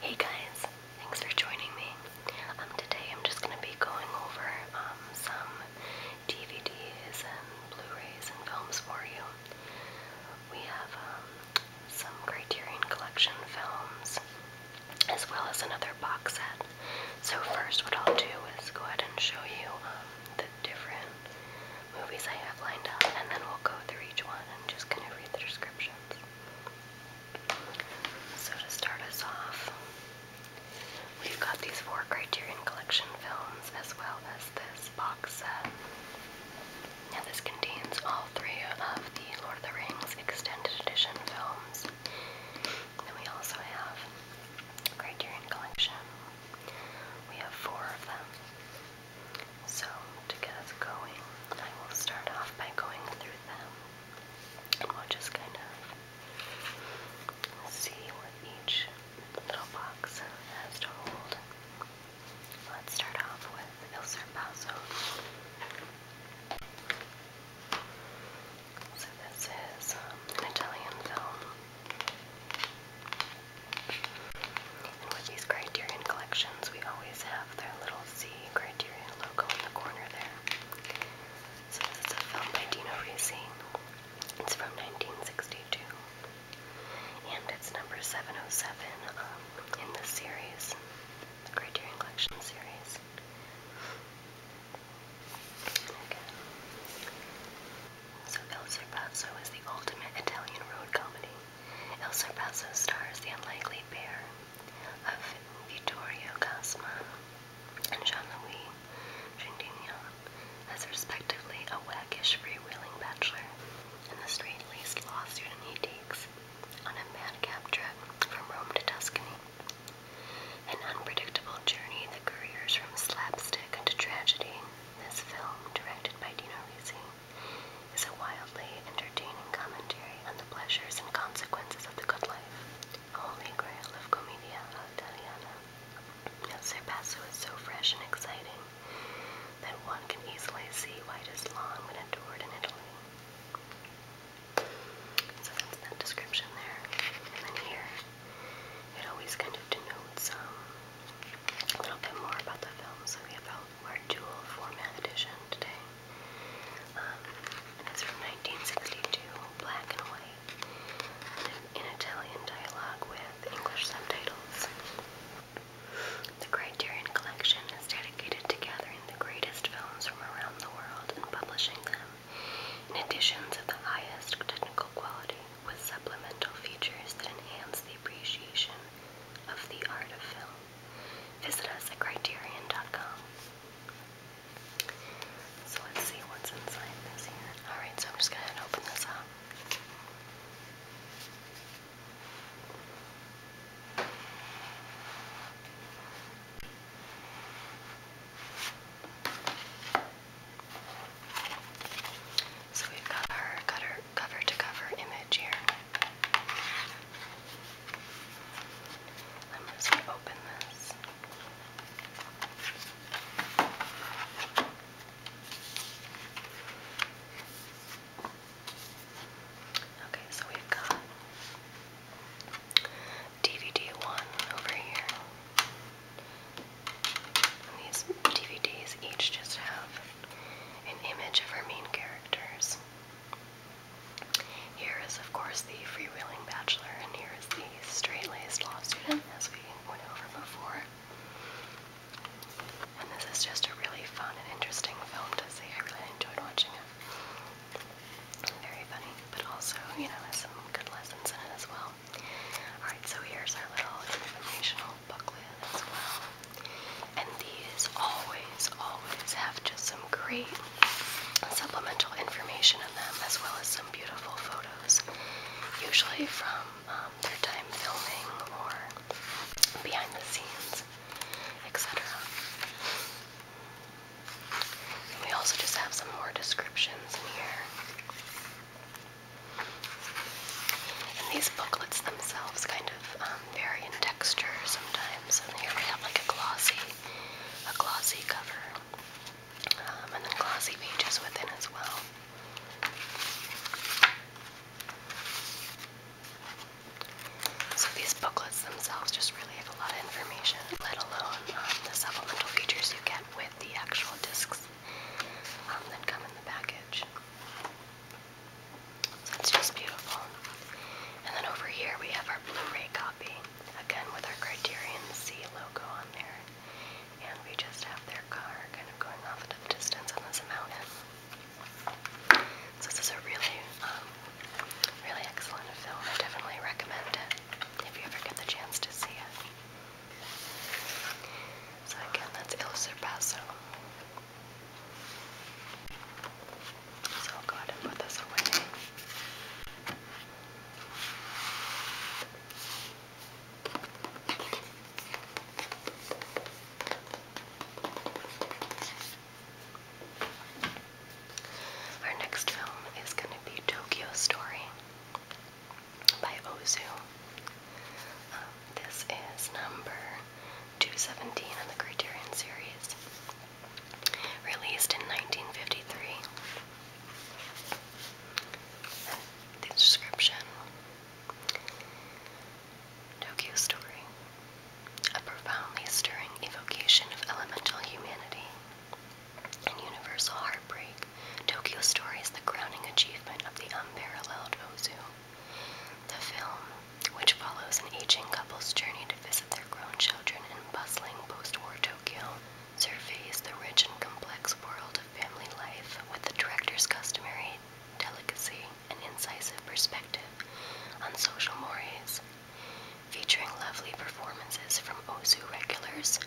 Hey guys, thanks for joining me. Um, today I'm just going to be going over um, some DVDs and Blu-rays and films for you. We have um, some Criterion Collection films as well as another box set. So first what I'll do is go ahead and show you um, the different movies I have lined up and then we'll go through each one and just kind of read the descriptions. So to start us off, we've got these four Criterion Collection films as well as this box set. Now this contains all three of the Lord of the Rings extended edition films. Then we also have Criterion Collection. We have four of them. So, to get us going, I will start off by going through them and we'll just kind of see what each little box has to hold. Let's start off with El Serpazo. So, this is um, an Italian film with these Criterion collections, we always have their little C Criterion logo in the corner there. So this is a film by Dino Risi. It's from 1962, and it's number 707 um, in the series, the Criterion Collection series. Okay. So Il Serpazzo is the ultimate Italian road comedy. Il Sorpreso stars the unlikely pair of Vittorio Casma and Jean-Louis Trintignant as respectively a waggish freewheeling bachelor and the straight-laced law student he takes on a madcap trip from Rome to Tuscany. An unpredictable journey that careers from slapstick into tragedy, this film, directed by Dino Risi, is a wildly entertaining commentary on the pleasures and consequences of the good life, a grail of commedia italiana. El Serpasso is so fresh and exciting that one can easily see why it long been adored in Italy. So that's that description there. And then here, it always kind of denotes um, a little bit more about the film. So we have El or dual format edition today. Um, it's from 1962, black and white, in Italian dialogue with English subtitles. The Criterion Collection is dedicated to gathering the greatest films from around the world and publishing them in editions of the highest technical quality with supplemental features that enhance the appreciation of the art of film. Visit us at criterion.com. So let's see what's inside this Alright, so I'm just going to open this up. So we've got our cover to cover image here. I'm open this. Okay, so we've got DVD one over here. these DVDs each just have an image of our main characters. Here is, of course, the freewheeling bachelor, and here is the straight-laced law student, as we went over before. And this is just a really fun and interesting film to see. I really enjoyed watching it. Very funny, but also, you know, has some good lessons in it as well. Alright, so here's our little informational booklet as well. And these always, always have just some great supplemental information in them, as well as some beautiful photos, usually from um, their time filming or behind the scenes, etc. we also just have some more descriptions in here. And these booklets themselves kind of um, vary in texture sometimes. And here we have like a glossy, a glossy cover, um, and then glossy pages within as well. So these booklets themselves just really have a lot of information, let alone um, the supplemental features you get with the actual discs that come in the package. That's just beautiful. And then over here we have our Blu-ray copy, again with our Criterion C logo on there. And we just have their car kind of going off into the distance, on this mountain. So this is a really, um, really excellent film. I definitely recommend it if you ever get the chance to see it. So again, that's El Cerpazo. So i and put this away. Our next film is going to be Tokyo Story by Ozu. Um, this is number 217 in the Criterion series, released in 1953. The description Tokyo Story A profoundly stirring evocation of elemental humanity and universal heartbreak Tokyo Story is the crowning achievement of the unparalleled Ozu. The film, which follows an aging couple's journey to visit their grown children in bustling post-war Tokyo, surveys the rich and complex world of family life with the director's customary delicacy and incisive perspective on social mores, featuring lovely performances from Ozu regulars,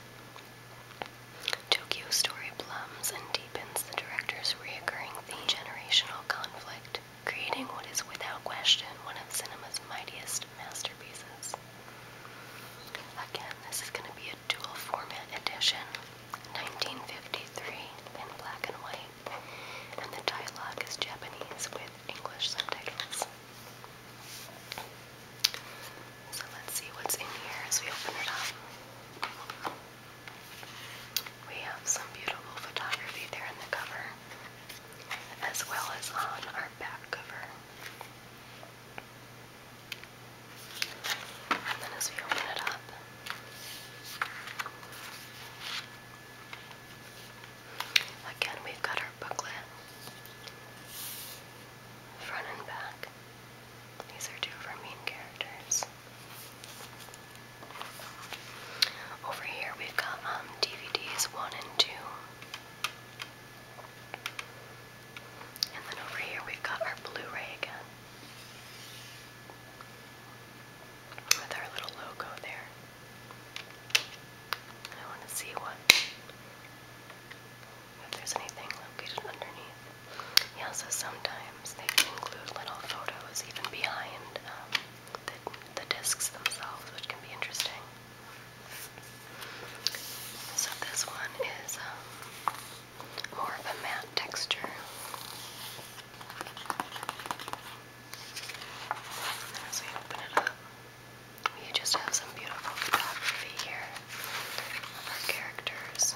Tokyo Story blooms and deepens the director's reoccurring theme generational conflict, creating what is without question one of cinema's mightiest masterpieces. Again, this is going to be a dual format edition, 1953 in black and white, and the dialogue is Japanese with English subtitles. So let's see what's in here as we open it up. We have some beautiful photography there in the cover, as well as on our back cover. And then as we open it up, again we've got our booklet, front and back. These are two of our main characters. Over here we've got um, DVDs 1 and 2. And then over here we've got our Blu-ray again. With our little logo there. I want to see what if there's anything located underneath. Yeah, so sometimes they include little photos even behind um, the, discs themselves, which can be interesting. So this one is um, more of a matte texture. as we open it up, we just have some beautiful photography here of our characters.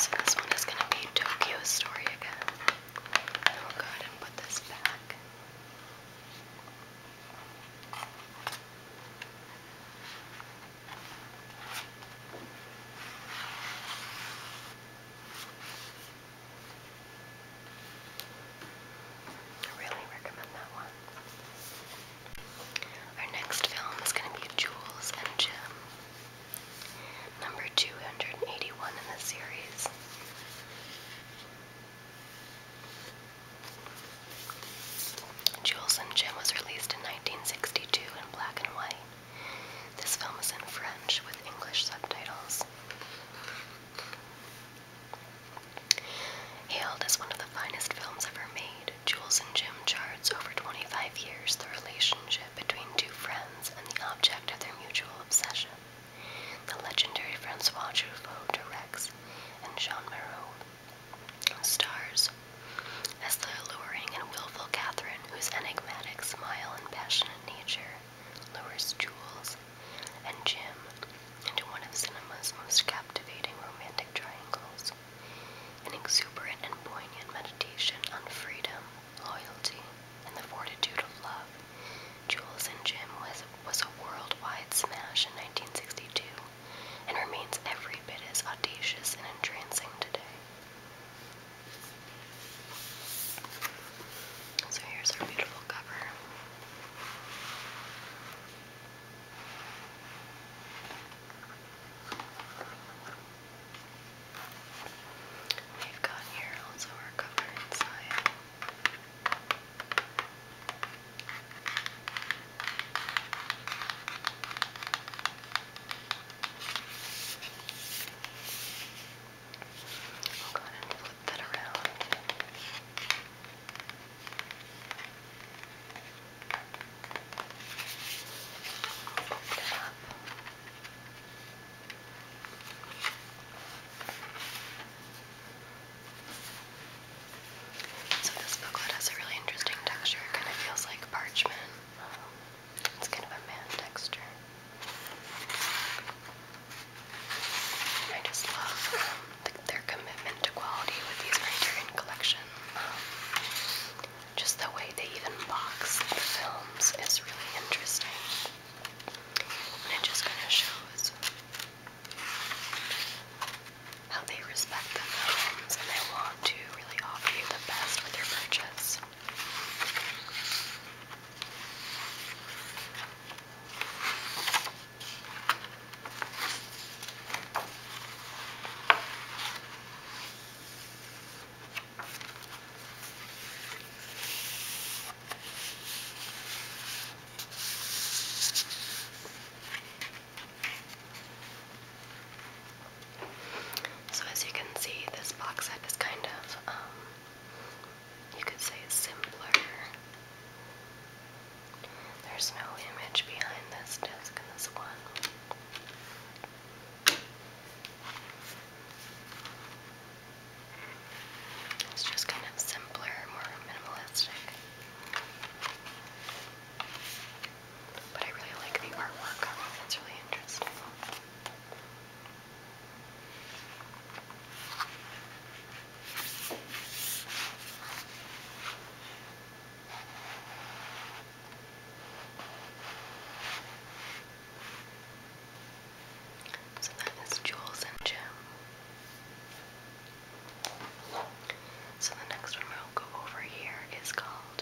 So this one is going to be Tokyo Story again. we'll go ahead and put this back. really recommend that one. Our next film is going to be Jules and Jim, number 281 in the series. Jules and Jim was released in 1962 in black and white. This film is in French with English subtitles. Hailed as one of the finest films ever made, Jules and Jim charts over 25 years the relationship between two friends and the object of their mutual obsession. The legendary Francois Truffaut directs and Jean Marot stars as the alluring and willful Catherine, whose enigmatic smile and passionate nature lures Jules and Jim into one of cinema's most captivating romantic triangles an exuberant and poignant meditation on freedom, loyalty, and the fortitude of love. Jules and Jim was, was a worldwide smash in 1962 and remains every bit as audacious and entrancing today. So here's our beautiful cover. We've got here also our cover inside. I'll go ahead and flip that around. So this booklet has a really interesting texture. It kind of feels like parchment. It's kind of a man texture. I just love um, their commitment to quality with these Criterion Collection. Um, just the way they even box the films is really interesting. And it just kind of shows how they respect the films and they want to really offer you the best with your purchase. So as you can see, this box set is kind of, um, you could say simpler there's no image behind this disc, this one. It's just kind of simpler, more minimalistic. But I really like the artwork on really interesting. So that is Jules and Jim. So the next one we'll go over here is called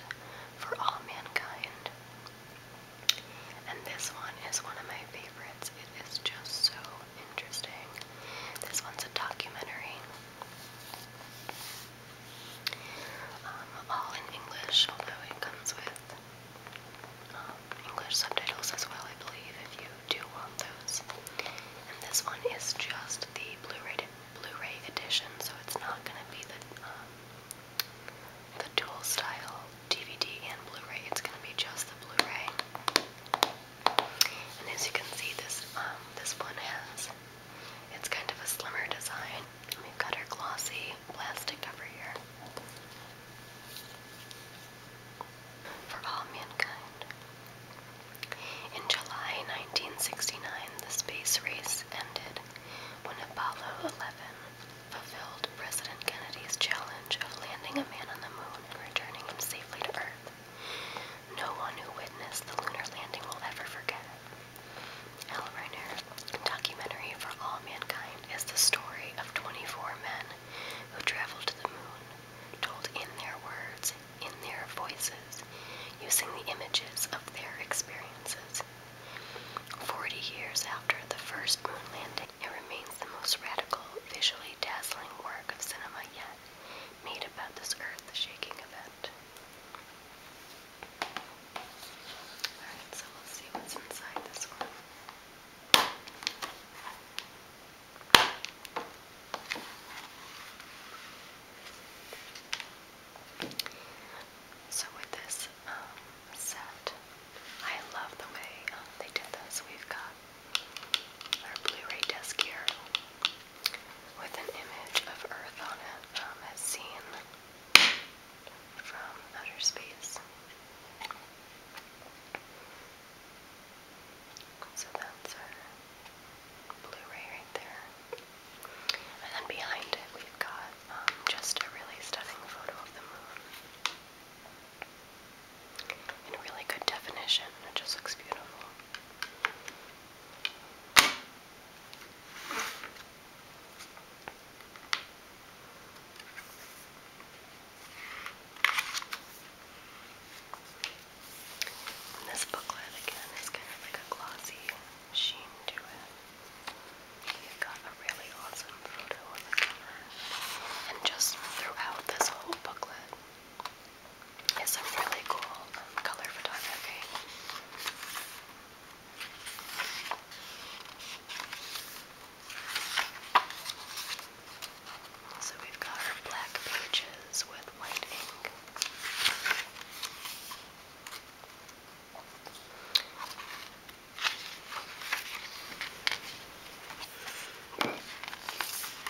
For All Mankind. And this one is one of my favorites. It is just so interesting. This one's a documentary um, all in English, although it comes with um, English subtitles as well, I believe, if you do want those. And this one is just the Blu-ray Blu-ray edition, so it's not going to be the um, the dual style DVD and Blu-ray. It's going to be just the Blu-ray. And as you can see, this um, this one has it's kind of a slimmer design. We've got our glossy plastic over here. For all mankind. In July 1969, the space race ended when Apollo 11 fulfilled President Kennedy's challenge of landing a man on the moon and returning him safely to Earth. No one who witnessed the lunar landing will ever forget it. Al documentary for all mankind, is the story of 24 men who traveled to the moon, told in their words, in their voices, using the images of their experiences. 40 years after the first moon landing, it remains the most radical, visually dazzling work of cinema yet made about this earth shaking event. Alright, so we'll see what's inside this one. So with this um, set, I love the way um, they did this. We've got our Blu-ray disc here with an image of Earth on it um, as seen from outer space. So that's our Blu-ray right there. And then behind it we've got um, just a really stunning photo of the moon and really good definition. It just looks beautiful. this booklet again is kind of like a glossy sheen to it. you got a really awesome photo And just throughout this whole booklet, is a really cool color photography. So we've got our black pages with white ink.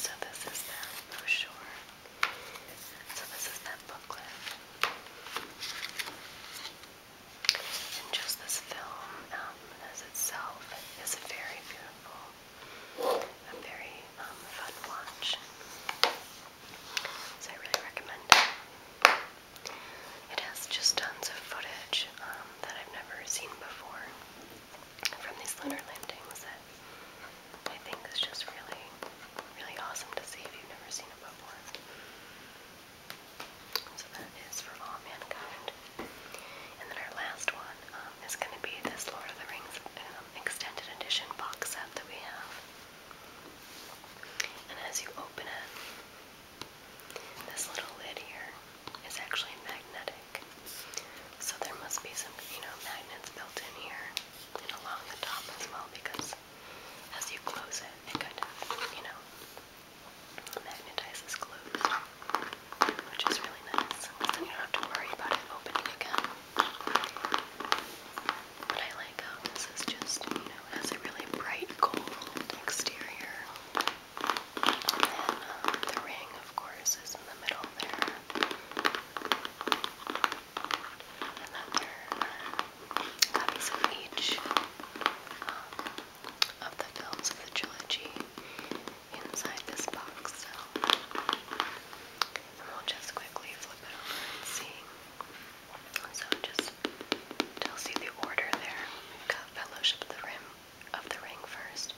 So this is that brochure. So this is that booklet. And just this film um, as itself is very beautiful. A very um, fun watch. So I really recommend it. It has just tons of footage um, that I've never seen before from these lunar landings I think is just really, really awesome to see if you've never seen it before. So that is for all mankind. And then our last one um, is going to be this Lord of the Rings um, extended edition box set that we have. And as you open it, this little lid here is actually magnetic. So there must be some, you know, magnets built in here and along the top as well because as you close it, it kind of, you know, magnetizes closed, which is really nice. Then you don't have to worry about it opening again. But I like how this is just, you know, has a really bright gold exterior the ring, of course, is in the middle there. And then of each um, of the films of the trilogy inside this box. So, we'll just quickly flip it over and see. So just tells you the order there. We've got Fellowship of the Rim, of the Ring first,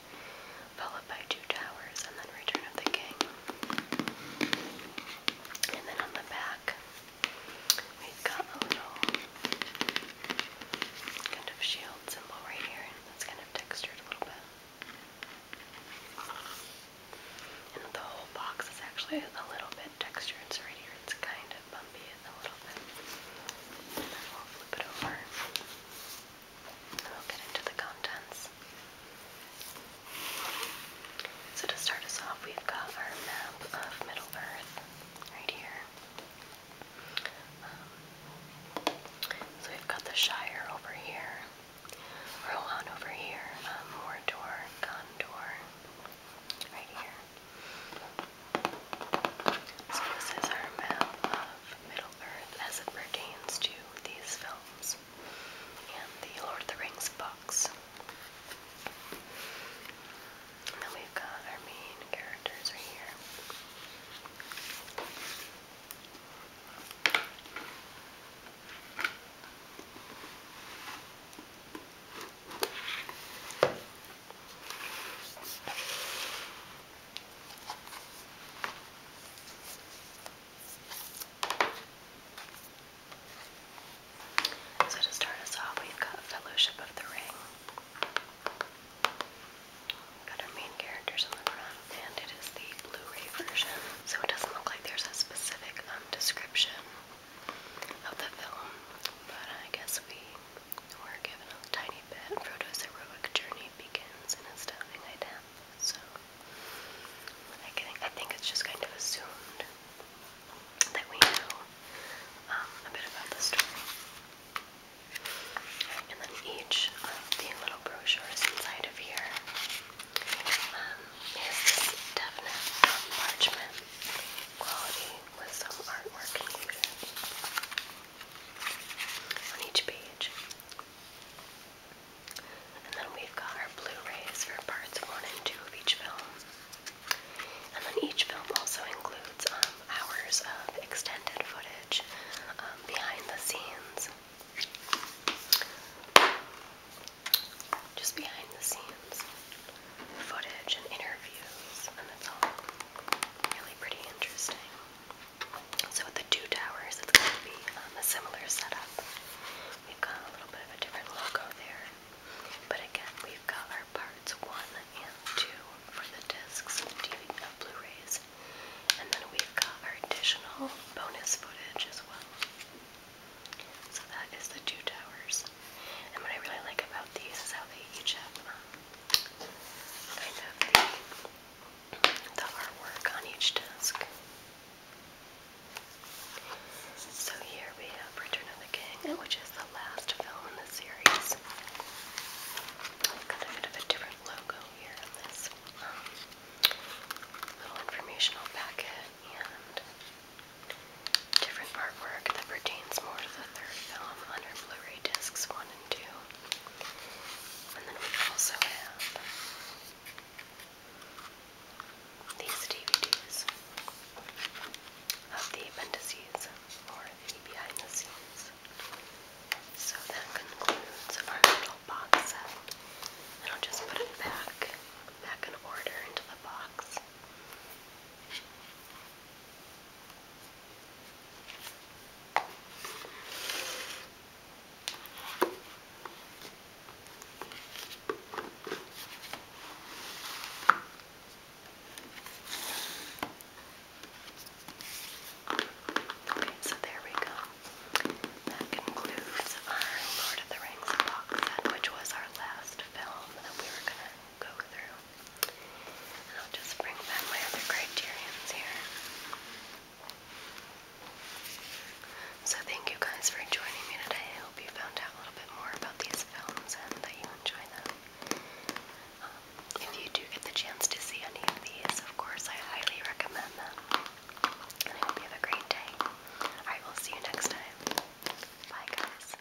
followed by Two Towers, and then Return of the King. And then on the back, we've got a little kind of shield symbol right here that's kind of textured a little bit. And the whole box is actually a little bit textured, so right here it's kind of bumpy a little And then we'll flip it over. I'll get into the contents. So to start us off, we've got our map of Middle Earth right here. Um, so we've got the Shire over here, Rohan over here, um, Mordor, Gondor, right here. So this is our map of Middle Earth as it pertains to these films and the Lord of the Rings books. then we've got our main characters right here. So to start us off, we've got Fellowship of the Ring. We've got our main characters on the front, and it is the Blu-ray version, so it doesn't look like there's a specific um, description of the film, but I guess we we're given a tiny bit. Frodo's heroic journey begins in astounding Idem. So I think I think it's just kind of assumed that we know um, a bit about the story. And then each of the little brochures inside of here um, parchment quality with some artwork included on each page. And then we've got our Blu-rays for parts one and two of each film. And then each film also includes um, hours of extended footage um, behind the scenes. Just behind the scenes footage and interviews, and it's all really pretty interesting. So with the two towers, it's going to be um, a similar setup. We've got a little bit of a different logo there, but again, we've got our parts one and two for the discs, TV, uh, Blu-rays, and then we've got our additional bonus footage as well. So that is the two towers. And what I really like about these is how they each have um, kind of the, artwork on each desk. So here we have Return of the King, which is the last film in the series. got a bit of a different logo here this um, little informational packet and different artwork that pertains more to the third film on our Blu-ray discs 1 and then we also have these DVDs of the appendices or behind the scenes. So that concludes our little box set. And I'll just put it back, back in order into the box. Okay, so there we go. That concludes our Lord of the Rings box set, which was our last film that we were gonna go through. I'll just bring back my other criterions here. So thank you guys for joining me today. I hope you found out a little bit more about these films and that you enjoy them. Um, if you do get the chance to see any of these, of course, I highly recommend them. And I hope you have a great day. I will see you next time. Bye, guys.